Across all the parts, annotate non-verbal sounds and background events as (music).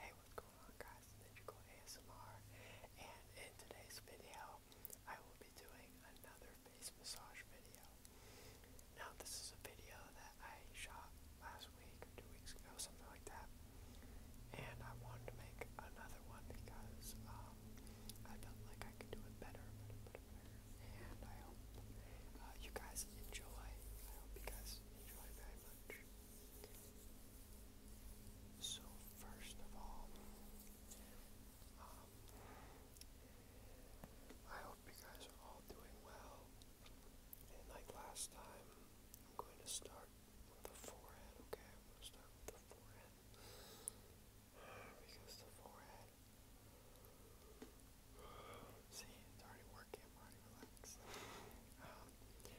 Hey, what's going on guys? It's ASMR and in today's video I will be doing another face massage video. Now this is a video that I shot last week or two weeks ago, something like that. And I wanted to make another one because um, I felt like I could do it better, better, better, better. And I hope uh, you guys enjoy. I hope you guys enjoy very much. So, first of all, um, I hope you guys are all doing well. And like last time, I'm going to start with the forehead, okay? I'm going to start with the forehead. Because the forehead. See, it's already working, already relaxed. Um,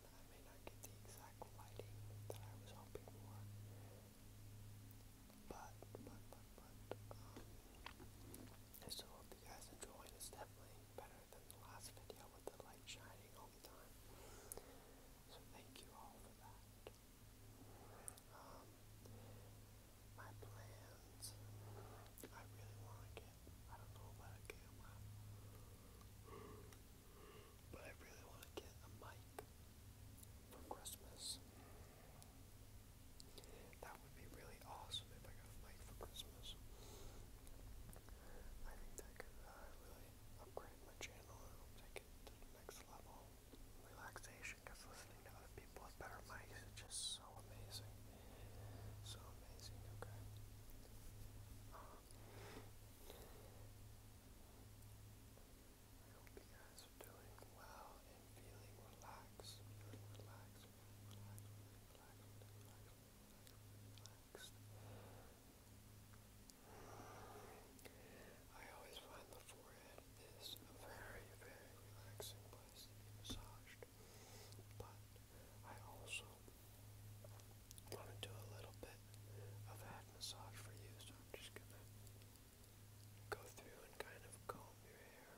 I may not get the exact lighting that I was hoping for. But, but, but, but, um, I still hope you guys enjoyed. It's definitely better than the last video with the light shining all the time. So thank you all for that. Um, my plans, I really want to get, I don't know about a camera. But I really want to get a mic for Christmas. That would be really awesome if I got a mic for Christmas. I think that could uh, really upgrade my channel and take it to the next level. Relaxation, because listening to other people with better mics is just so amazing. So amazing, okay? Um, I hope you guys are doing well and feeling relaxed, I always find the forehead is a very, very relaxing place to be but I also I want to do a little bit of head massage for you, just to go through and kind of comb your hair. And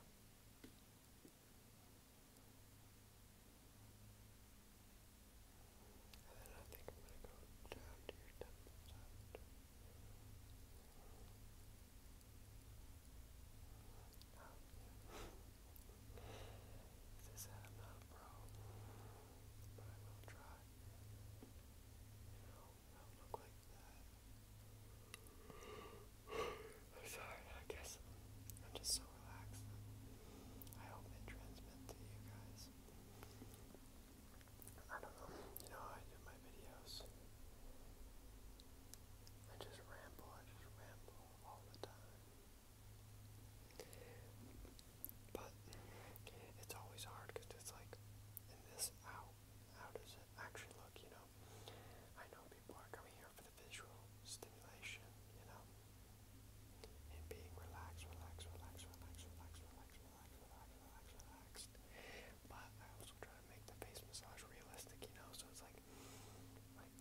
then I think I'm gonna go down to your temples um, (laughs) I am sorry, I guess I'm just so relaxed. I hope it transmits to you guys. I don't know, you know how I do my videos. I just ramble, I just ramble all the time. But it's always hard because it's like, in this, how, how does it actually look, you know? I know people are coming here for the visual stimulation, you know? And being relaxed, relaxed, relaxed, relaxed, relaxed, relaxed, relaxed, relaxed, relaxed, relaxed. But I also try to make the face massage realistic, you know? So it's like, like,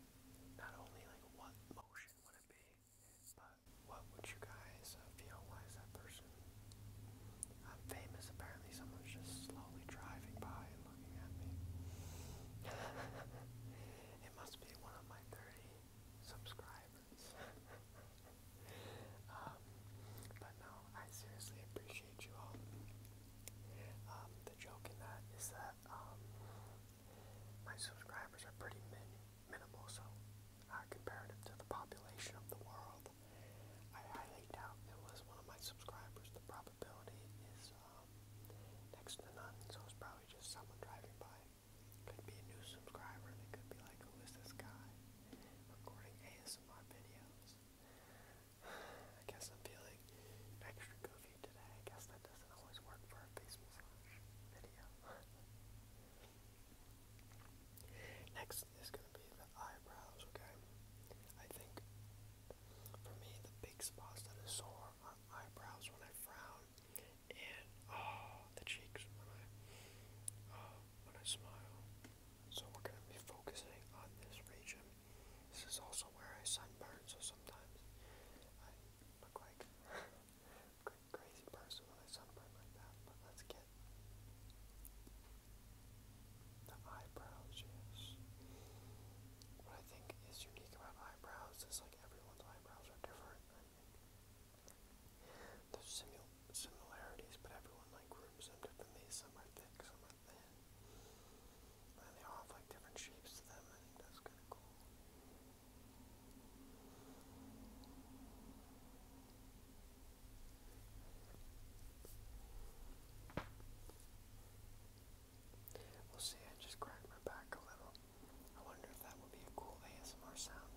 not only like what motion would it be, but what would you guys uh, feel? Why is that person? I'm famous. Apparently, someone's just slowly driving by and looking at me. (laughs) it must be one of my 30 subscribers. (laughs) Um, but no, I seriously appreciate you all. Um, the joke in that is that um, my subscribers are pretty min minimal, so uh, comparative to the population of the world, I highly doubt unless one of my subscribers, the probability is um, next to none. So it's probably just someone driving by. Could be a new subscriber. They could be like, "Who is this guy recording ASMR videos?" (sighs) I guess I'm feeling extra goofy today. I guess that doesn't always work for a face massage video. (laughs) Next is going to be the eyebrows, okay? I think for me, the big spots that are sore are eyebrows when I frown and oh, the cheeks when I, oh, when I smile. So we're going to be focusing on this region. This is also where I sunburn, so sometimes I look like (laughs) crazy person when I celebrate like that, but let's get the eyebrows, yes. What I think is unique about eyebrows is like everyone's eyebrows are different. I mean, there's similarities, but everyone like grooms them differently. Some are thick, some are thin. And they all have like different shapes to them. I that's kind of cool. We'll see, I just cracked my back a little. I wonder if that would be a cool ASMR sound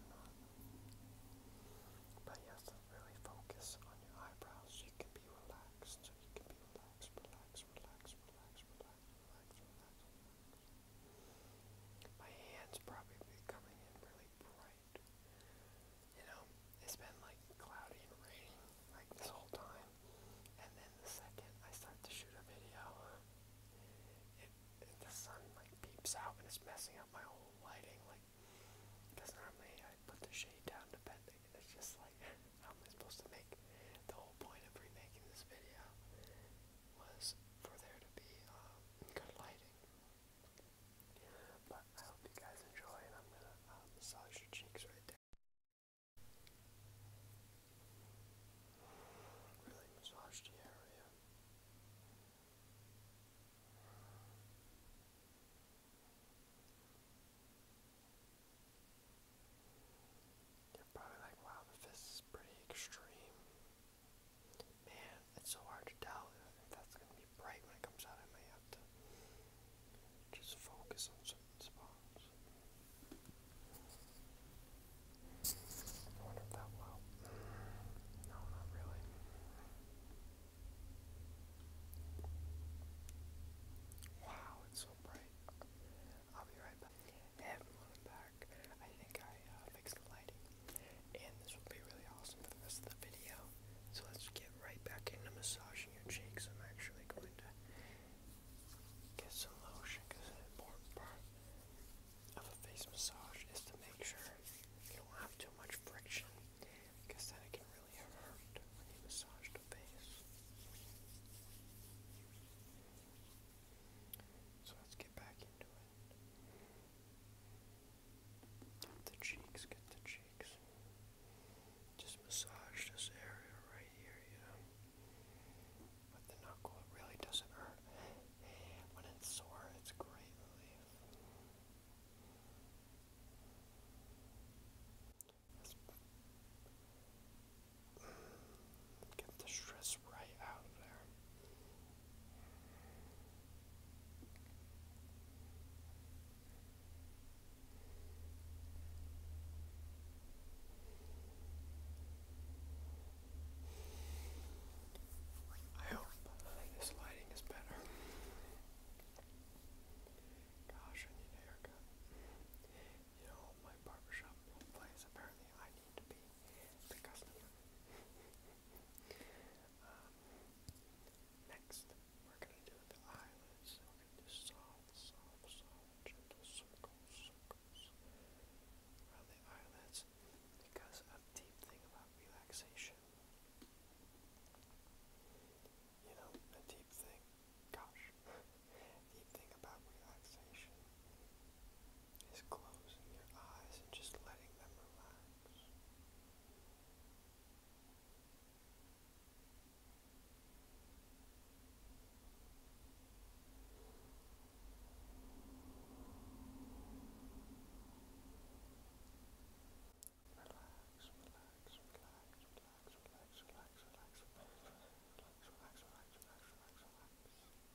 But you really focus on your eyebrows. You can be relaxed. You can be relaxed, relaxed, relaxed, relaxed, relaxed. My hand's probably coming really bright. You know, it's been like cloudy and raining like this whole time. And then the second I start to shoot a video, it, the sun like peeps out and it's messing up my whole lighting. Like, because normally I put the shade down to bending and it's just like, (laughs) how am I supposed to make the whole point of remaking this video was for there to be um, good lighting. But I hope you guys enjoy, and I'm gonna um, massage your cheeks right there. Really massage the area. Good. You're probably like, wow, the is pretty extreme. Man, it's so hard to tell if that's going to be bright when it comes out. I may have just focus on certain spots. wonder if that will. No, not really. Wow, it's so bright. I'll be right back. Everyone back. I think I uh, fixed the lighting. And this will be really awesome for the rest of the video. So let's get right back into massaging your cheeks. I'm actually going to get some lotion because an important part of a face massage is to make sure you don't have too much friction because then it can really hurt when you massage the face. So let's get back into it. Get the cheeks, get the cheeks. Just massage this area right here, you With the knuckle, it really doesn't hurt. When it's sore, it's great relief. Get the stress right out of there. I hope this lighting is better. Gosh, I need haircut. You know, my barbershop place, apparently I need um, next, we're going to do the eyelids. we're going to do soft, soft, gentle circles, circles around the eyelids because a deep thing about relaxation. You know, a deep thing. Gosh, the thing about relaxation is closing your eyes and just letting them relax. Relax, relax, relax, relax, relax, relax, relax, relax, relax, relax, relax, relax, relax.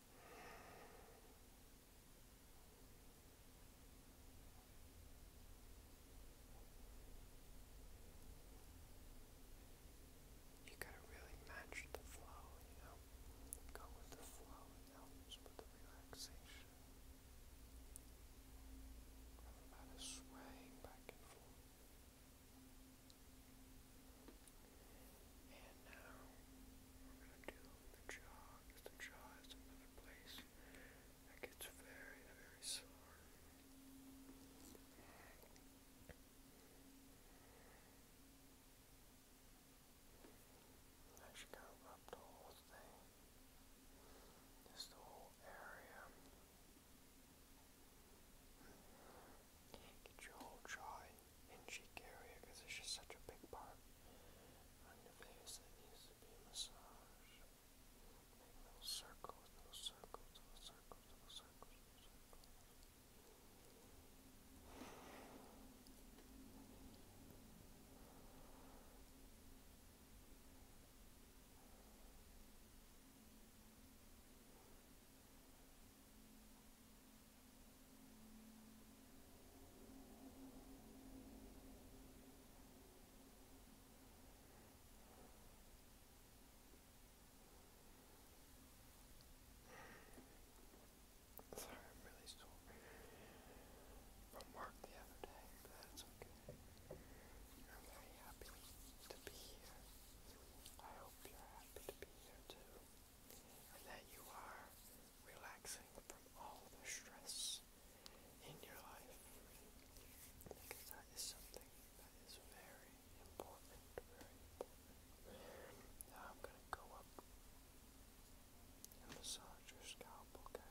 You gotta really match the flow, you know? Go with the flow, it helps with the relaxation. Everybody swaying back and forth. And now we're gonna do the jaw, the jaw is another place that gets very, very sore. I should go up the whole thing. Just the whole area. Get your whole jaw in cheek area because it's just such a big part on your face that needs to be massaged. little circles, little circles, little circles, little circles, little circles. Sorry, really sore from work the other day, but that's okay. I'm very happy to be here. I hope you're happy to be here too and that you are relaxing from all the stress in your life. Because that is something that is very important, I'm going to go up and massage your scalp, okay?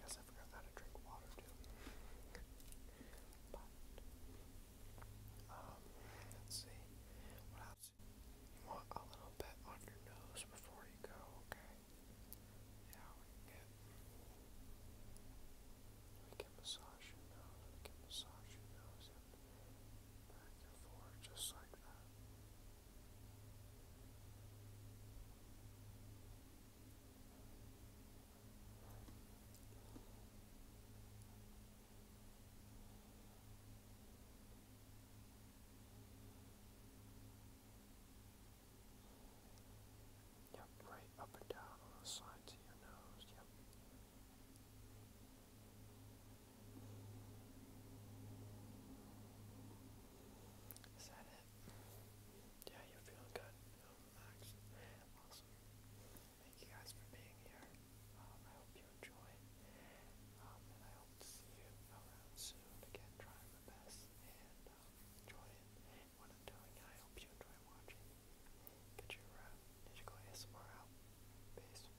Guess I forgot how to drink water too. Um, let's see. What else? want a little bit on your nose before you go, okay? Yeah, we can get we can massage nose, we can massage your nose just like that. Yep, right up and down on the sides of your nose. Yep. Is that it? Yeah, you're feeling good. Feel Awesome. Thank you guys for being here. Um, I hope you enjoyed. Um, and I hope to see you around soon. Again, trying my best and um, enjoying what I'm doing. I hope you enjoy watching. Get your uh, Ninja Go ASMR out. Peace.